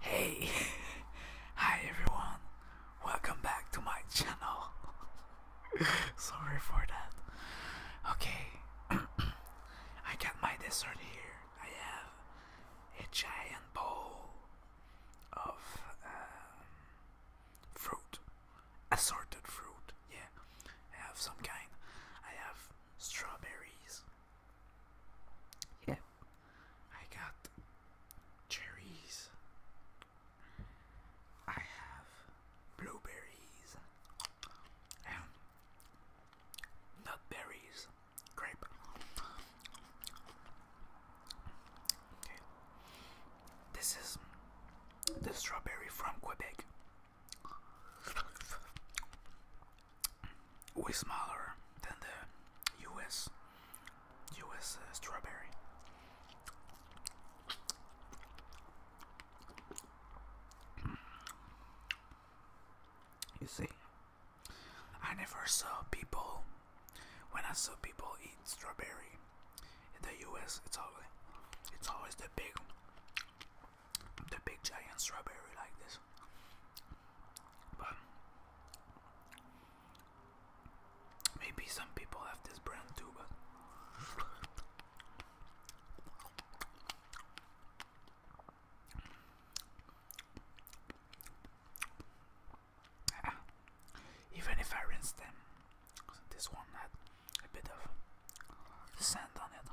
Hey, hi everyone, welcome back to my channel. Sorry for that. Okay, I got my dessert here. I have a giant bowl of um, fruit, assorted fruit. Yeah, I some kind. I have strawberries. Yeah, I got cherries. I have blueberries and nutberries, grape. Okay. This is the strawberry from Quebec way smaller than the US US uh, strawberry. You see, I never saw people when I saw people eat strawberry in the US. It's always it's always the big the big giant strawberry like this. But maybe some people have this brand too, but even if I rinse them, this one had a bit of sand on it.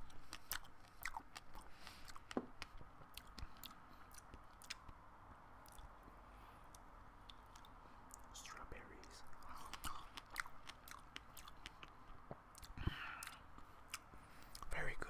Strawberries. Very good.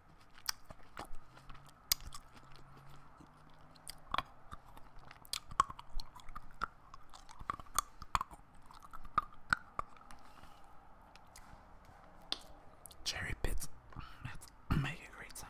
Cherry pits make a great sound.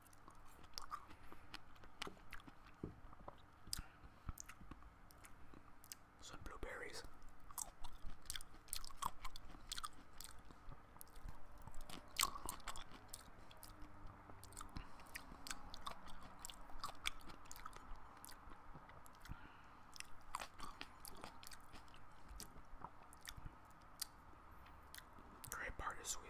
Some blueberries. Great part is sweeter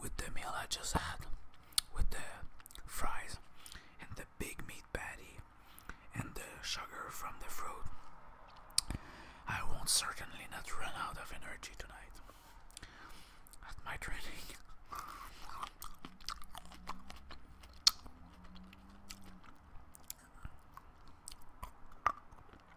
with the meal I just had, with the fries and the big meat patty and the sugar from the fruit, I won't certainly not run out of energy tonight at my training.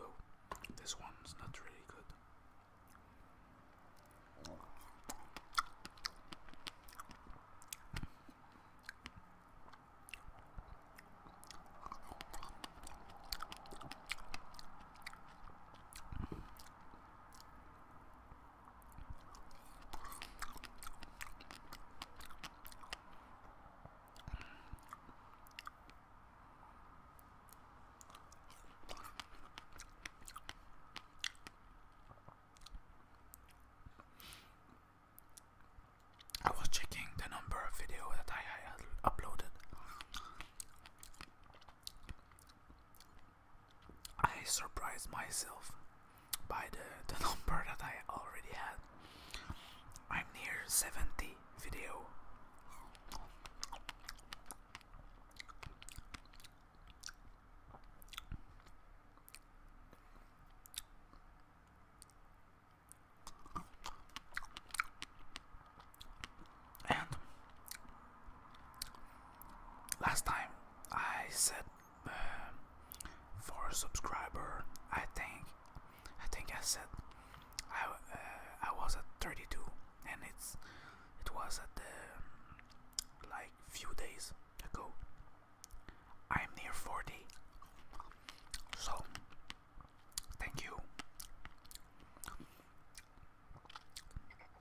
Oh, this one's not really good. I was checking the number of video that I uploaded. I surprised myself by the, the number that I already had. I'm near 70 video. And Last time I said uh, for a subscriber, I think I think I said I uh, I was at 32, and it's it was at the like few days ago. I'm near 40, so thank you.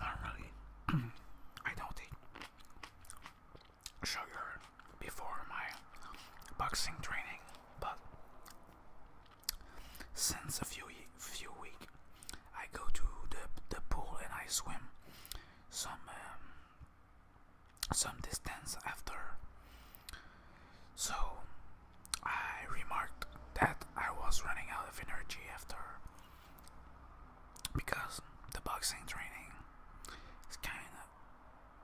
Not really. I don't eat sugar before my boxing training, but since a few few week, I go to the the pool and I swim some um, some distance after. So I remarked that I was running out of energy after because the boxing training is kind of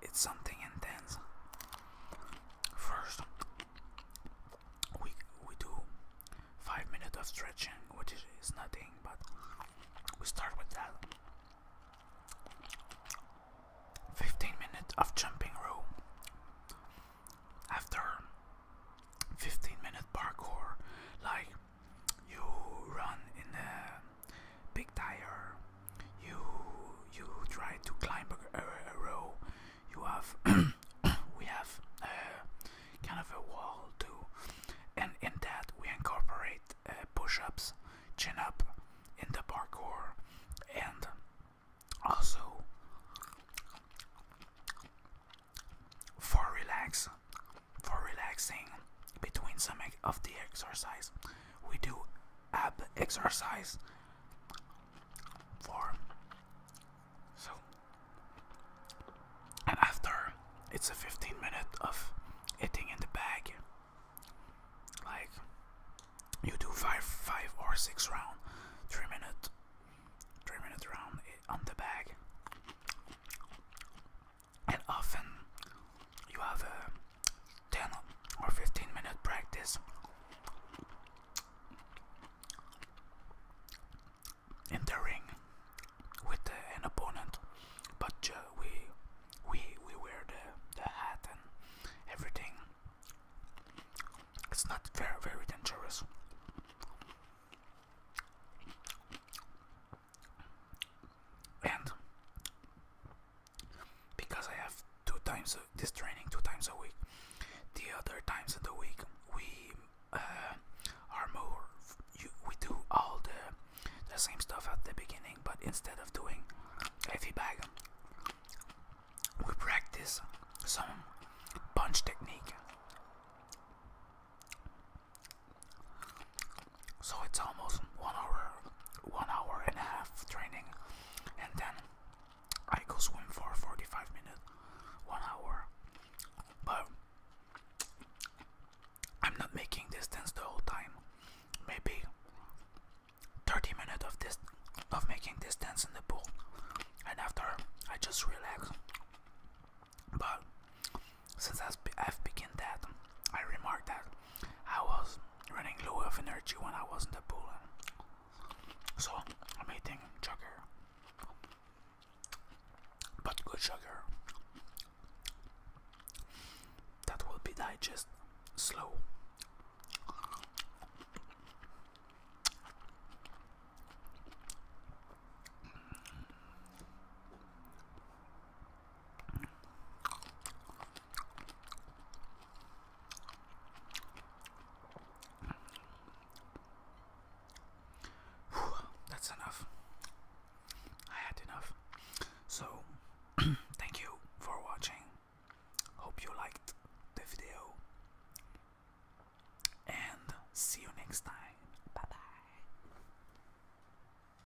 it's something intense. First, we we do five minutes of stretching which is nothing but we start with that 15 minutes of jumping rope after 15 minutes parkour like you run in the big tire you you try to climb a, row. You have we have kind of a wall too, and in that we incorporate uh, push-ups, chin-up in the parkour, and also for relax for relaxing between some of the exercise we do ab exercise for so and after it's a 15 minute of hitting in the bag like you do five five or six rounds, three minute three minute round on the bag and often you have a 10 or 15 minute practice in the ring with an opponent but uh, we we we wear the, the hat and everything it's not very very dangerous and because I have two times this training two times a week. The other times in the week we uh, are more. we do all the the same stuff at the beginning, but instead of doing heavy bag, we practice some punch technique. So it's almost one hour, one hour and a half training, and then I go swim for 45 minutes, one hour. But I'm not making distance the whole time. Maybe 30 minutes of this of making distance in the pool, and after I just relax. But since I've begun that, I remarked that I was running low of energy when I was in the pool, so I'm eating sugar, but good sugar that will be digested slow that's enough. I had enough. So, thank you for watching. Hope you liked the video. And see you next time. Bye bye.